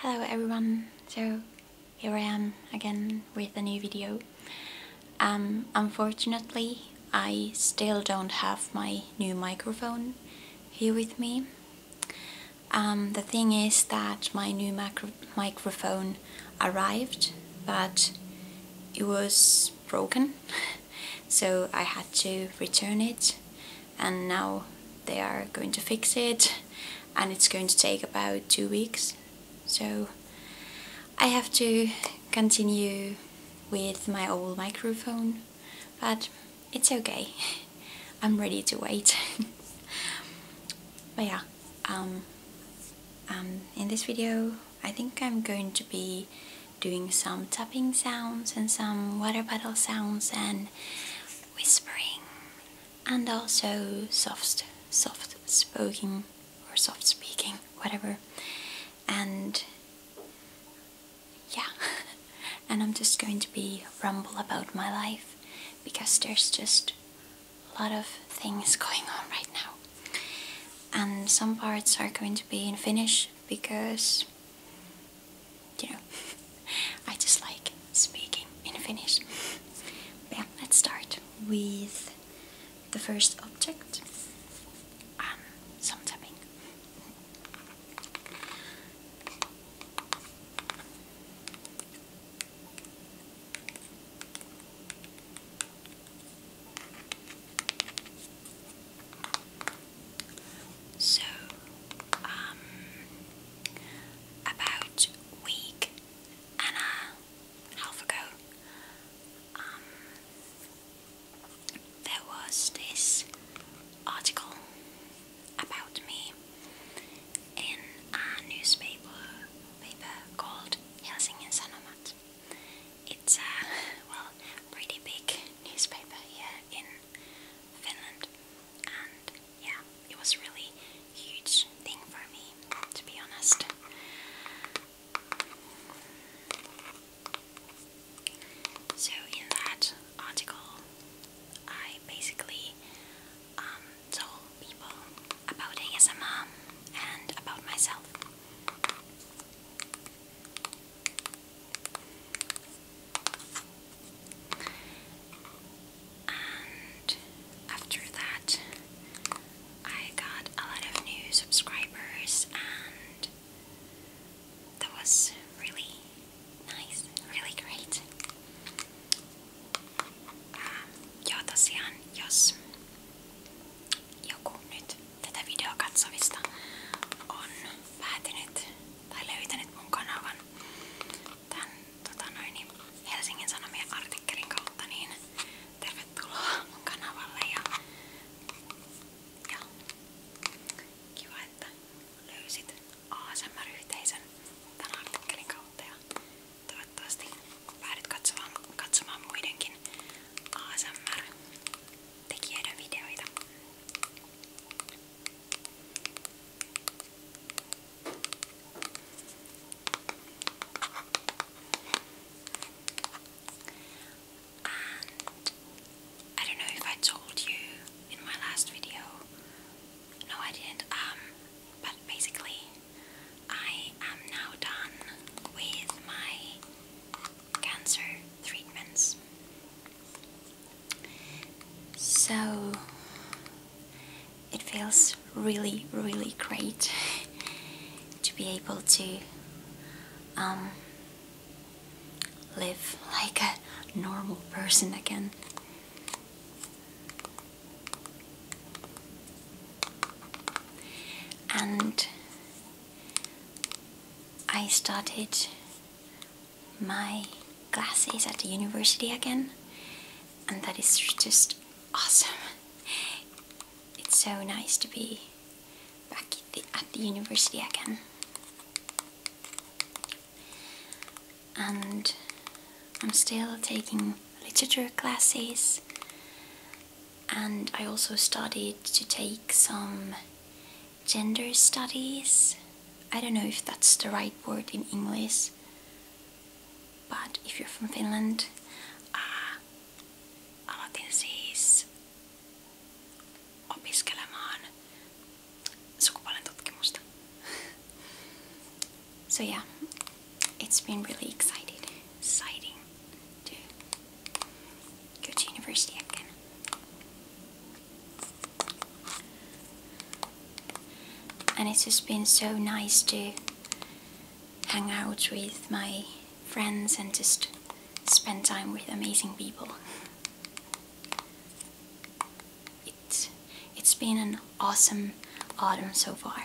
Hello everyone, so here I am again with a new video. Um, unfortunately I still don't have my new microphone here with me. Um, the thing is that my new microphone arrived but it was broken so I had to return it and now they are going to fix it and it's going to take about two weeks so I have to continue with my old microphone but it's okay I'm ready to wait but yeah um, um, in this video I think I'm going to be doing some tapping sounds and some water bottle sounds and whispering and also soft soft spoken or soft speaking whatever and yeah and i'm just going to be rumble about my life because there's just a lot of things going on right now and some parts are going to be in finnish because you I just like speaking in Finnish. But let's start with the first object. Um, some tapping. So, um, about week and a half ago, um, there was this article about me in a newspaper paper called Helsingin Sanomat. It's a well pretty big newspaper here in Finland, and yeah, it was really huge thing for me to be honest. So in that article, I basically um, told people about ASMR and about myself. And after that, I got a lot of new subscribers, and that was really nice, really great. Ja um, tosiaan, jos joku nyt tätä videoa katsovista on päätynyt tai levitänyt mun kanavan tämän tota noin, Helsingin Sanomien artikkelin kautta, niin tervetuloa mun kanavalle ja, ja kiva, että löysit ASMR-yhteisön tämän artikkelin kautta ja toivottavasti päädyt katsomaan, katsomaan muidenkin ASMR-tekijöiden videoita. And I don't know if I told you in my last video. No, I didn't. Um, but basically, I am now done with my cancer treatments. So it feels really, really great to be able to um, live like a normal person again. And I started my classes at the university again, and that is just awesome. It's so nice to be back at the, university again. And I'm still taking literature classes, and I also started to take some gender studies. I don't know if that's the right word in English, but if you're from Finland, uh, aloitin siis opiskelemaan sukupuolen tutkimusta. so yeah, it's been really exciting, exciting to go to university again. And it's just been so nice to hang out with my friends and just spend time with amazing people. It's, it's been an awesome autumn so far.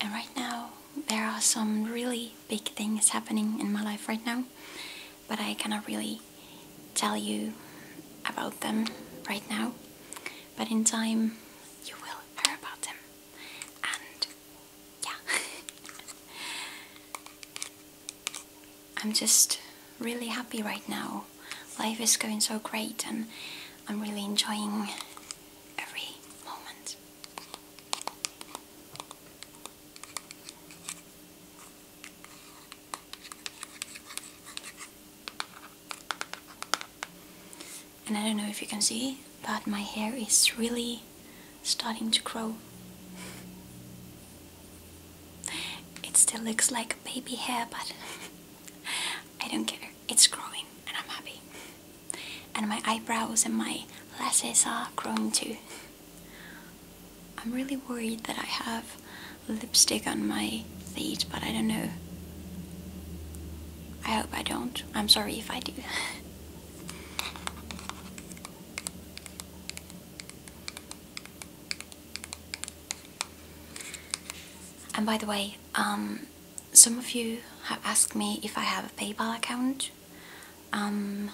And right now, there are some really big things happening in my life right now, but I cannot really tell you about them right now. But in time, you will hear about them. And yeah. I'm just really happy right now. Life is going so great, and I'm really enjoying every moment. And I don't know if you can see, but my hair is really starting to grow. it still looks like baby hair, but I don't care. It's growing and I'm happy and my eyebrows and my lashes are growing too. I'm really worried that I have lipstick on my feet, but I don't know. I hope I don't. I'm sorry if I do. and by the way, um, some of you have asked me if I have a PayPal account. Um,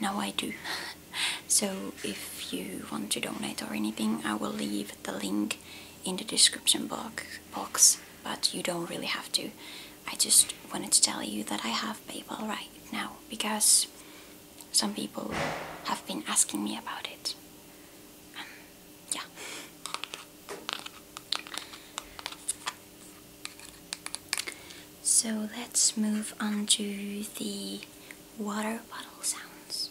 now I do. so if you want to donate or anything, I will leave the link in the description box, but you don't really have to. I just wanted to tell you that I have PayPal right now because some people have been asking me about it. Um, yeah. So let's move on to the water bottle sounds.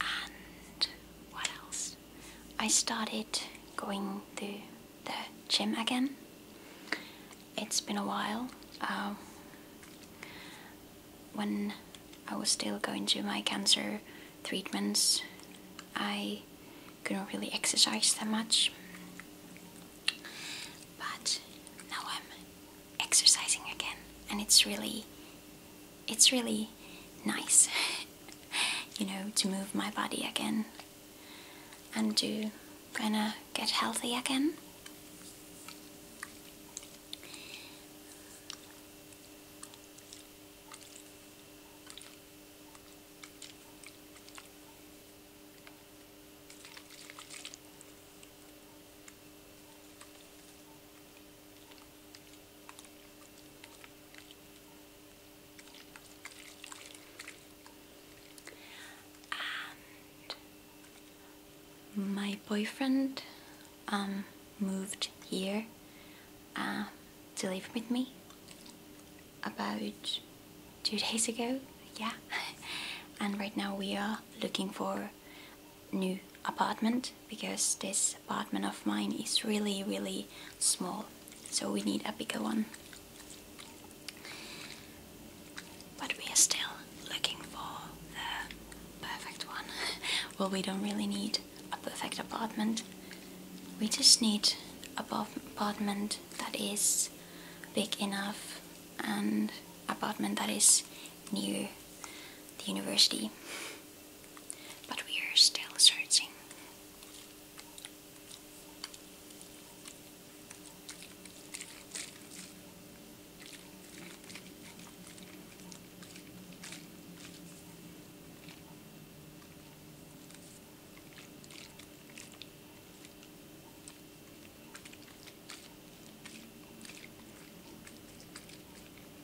And what else? I started going to the gym again. It's been a while. Uh, when I was still going to my cancer treatments, I couldn't really exercise that much. But now I'm exercising again, and it's really it's really nice, you know, to move my body again and to kind of get healthy again my boyfriend um, moved here um, to live with me about two days ago, yeah. and right now we are looking for new apartment because this apartment of mine is really really small so we need a bigger one but we are still looking for the perfect one well we don't really need a perfect apartment we just need an apartment that is big enough and apartment that is near the university but we are still searching.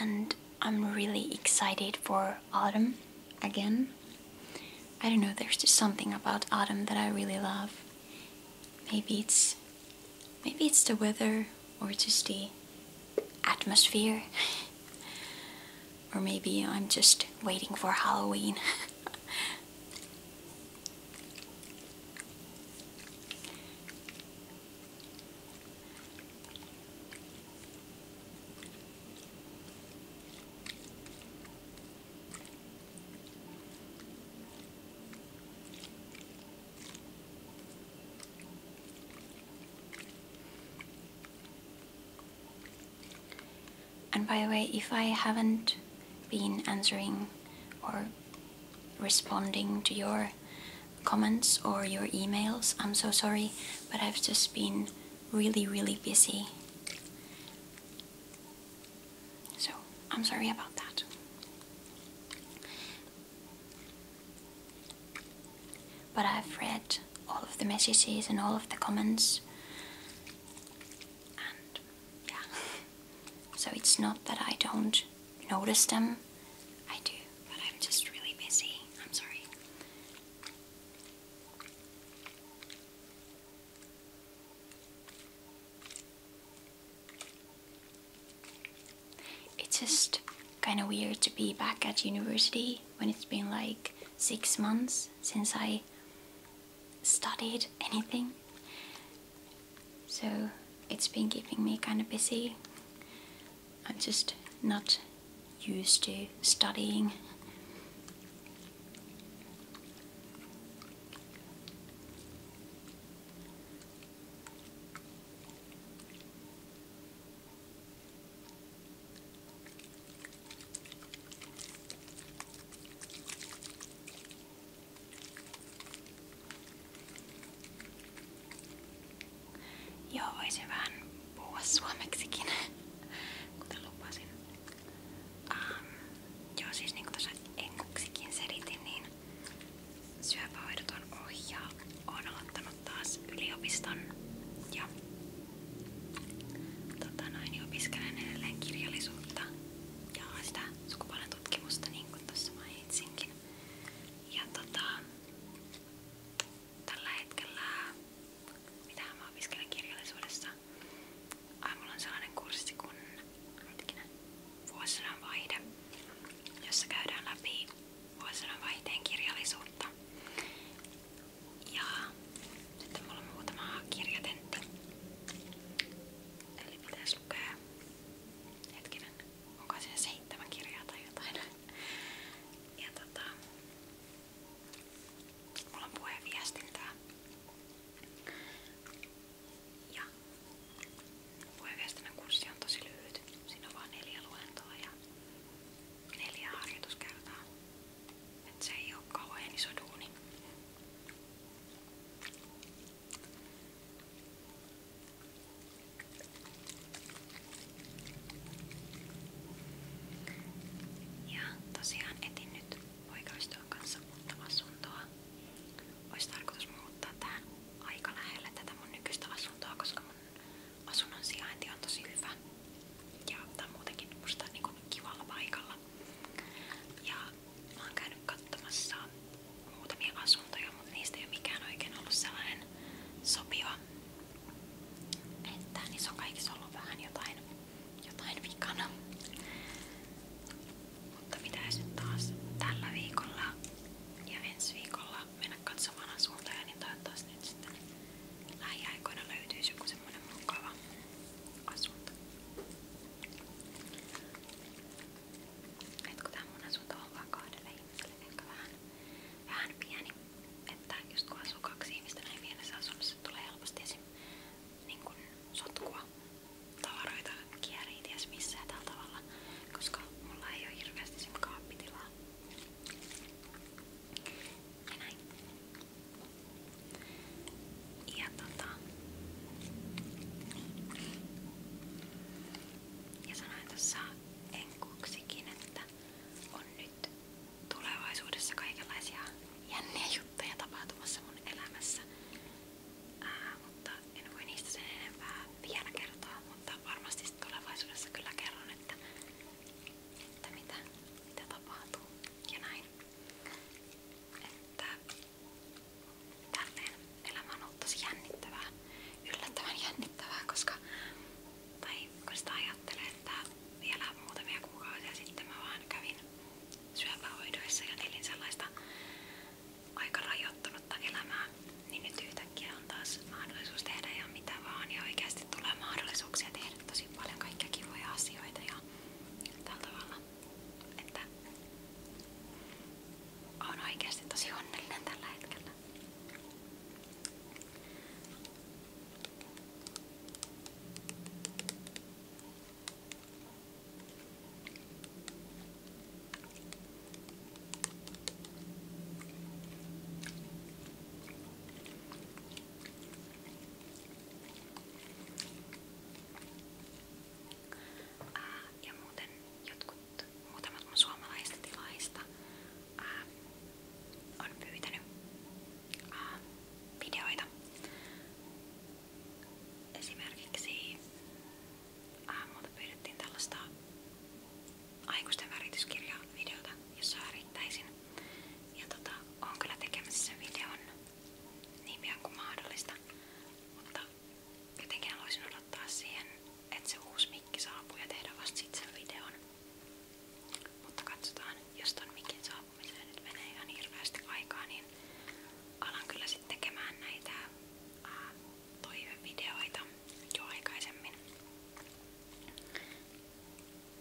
And I'm really excited for autumn again. I don't know, there's just something about autumn that I really love. Maybe it's maybe it's the weather or just the atmosphere. or maybe I'm just waiting for Halloween. And by the way, if I haven't been answering or responding to your comments or your emails. I'm so sorry, but I've just been really, really busy. So, I'm sorry about that. But I've read all of the messages and all of the comments, yeah. So it's not that I don't notice them. I do, but I'm just really busy. I'm sorry. It's just kind of weird to be back at university when it's been like six months since I studied anything. So it's been keeping me kind of busy. I'm just not used to studying. Joo, voisin vähän puhua suomeksikin, kuten lupasin. Um, joo, siis niin kuin tuossa engliksikin selitin, niin syöpähoidoton ohja on aloittanut taas yliopiston ja tota noin, niin opiskelen edelleen kirjallisuutta ja sitä sukupuolen tutkimusta, niin kuin tuossa mainitsinkin. Ja tota, tällä hetkellä, mitä mä opiskelen kirjallisuudessa, Ai, mulla on sellainen kurssi kuin hetkinen, vuosisadan vaihde, jossa käydään läpi vuosisadan vaihteen kirjallisuutta. Ja sitten mulla on muutama kirjatentti. Eli oli niin pitäisi lukea. Hetkinen, onko siinä seitsemän kirjaa tai jotain? Ja tota, mulla on puheenviestintää. Ja puheenviestinnän kurssi on tosi lyhyt. Siinä on vaan neljä luentoa ja neljä harjoituskertaa. Et se ei oo kauhean iso duuni. Ja tosiaan etin nyt poikaystävän kanssa muuttava asuntoa. Olisi tarkoitus muuttaa tähän aika tätä mun nykyistä asuntoa, koska asunnon sijainti on tosi hyvä. Ja tämä on muutenkin musta niin kivalla paikalla asua. Ja mä oon käynyt katsomassa muutamia asuntoja, mutta niistä ei ole mikään oikein ollut sellainen sopiva. Että niissä on kaikissa ollut vähän jotain, jotain vikana. Mutta pitäisi nyt taas tällä viikolla ja ensi viikolla mennä katsomaan asuntoja, niin toivottavasti nyt sitten lähiaikoina löytyisi joku semmonen mukava asunto. Et kun tää mun asunto on vaan kahdelle ihmiselle ehkä vähän, vähän pieni, että just kun asuu kaksi ihmistä näin pienessä asunnossa tulee helposti esim. Niin kun sotkua, tavaroita kierii ties missään tällä tavalla, koska mulla ei oo hirveästi esim. kaappitilaa. Ja näin. Ja tota... Ja sanoin tuossa enkuksikin, että on nyt tulevaisuudessa kaikenlaisia jänniä juttuja tapahtumassa mun elämässä. Ää, mutta en voi niistä sen enempää vielä kertoa, mutta varmasti tulevaisuudessa kyllä kerron, että, että mitä, mitä tapahtuu ja näin. Että tälleen elämä on ollut tosi jännittävää, yllättävän jännittävää, koska tai kun sitä ajattelee, että vielä muutamia kuukausia sitten mä vaan kävin syöpähoidoissa ja elin sellaista aika rajoittunutta elämää, niin nyt yhtäkkiä on taas mahdollisuus tehdä ja mitä vaan ja oikeasti tulee mahdollisuuksia tehdä tosi paljon kaikkia kivoja asioita ja tällä tavalla että on oikeasti tosi onnellinen tällä hetkellä. Ää, ja muuten jotkut, muutamat mun suomalaisista tilaista ää, on pyytänyt ää, videoita. Esimerkiksi ää, multa pyydettiin tällaista aikuisten värityskirjavideota, jossa värittäisin. Ja tota, on kyllä tekemässä sen videon niin pian kuin mahdollista. Mutta jotenkin haluaisin odottaa siihen, että se uusi mikki saapuu ja tehdä vasta sit sen videon. Mutta katsotaan, jos ton mikin saapumiseen nyt menee ihan hirveästi aikaa, niin alan kyllä sitten tekemään näitä ää, toivevideoita jo aikaisemmin.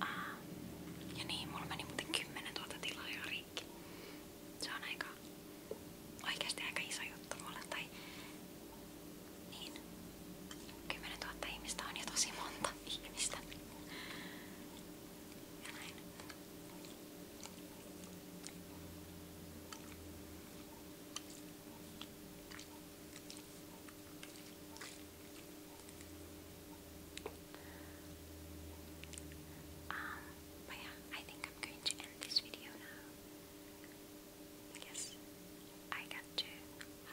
Aa, ja niin, mulla meni muuten 10 tuota tilaa jo rikki. Se on aika, oikeasti aika iso juttu mulle. Tai niin, 10 000 ihmistä on jo tosi monta ihmistä. Ja näin. Um, but yeah, I think I'm going to end this video now. Because I got to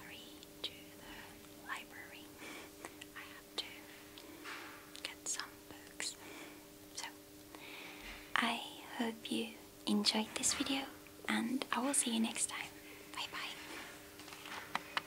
hurry to the library. I have to get some books. So, I hope you enjoyed this video and I will see you next time. Bye bye.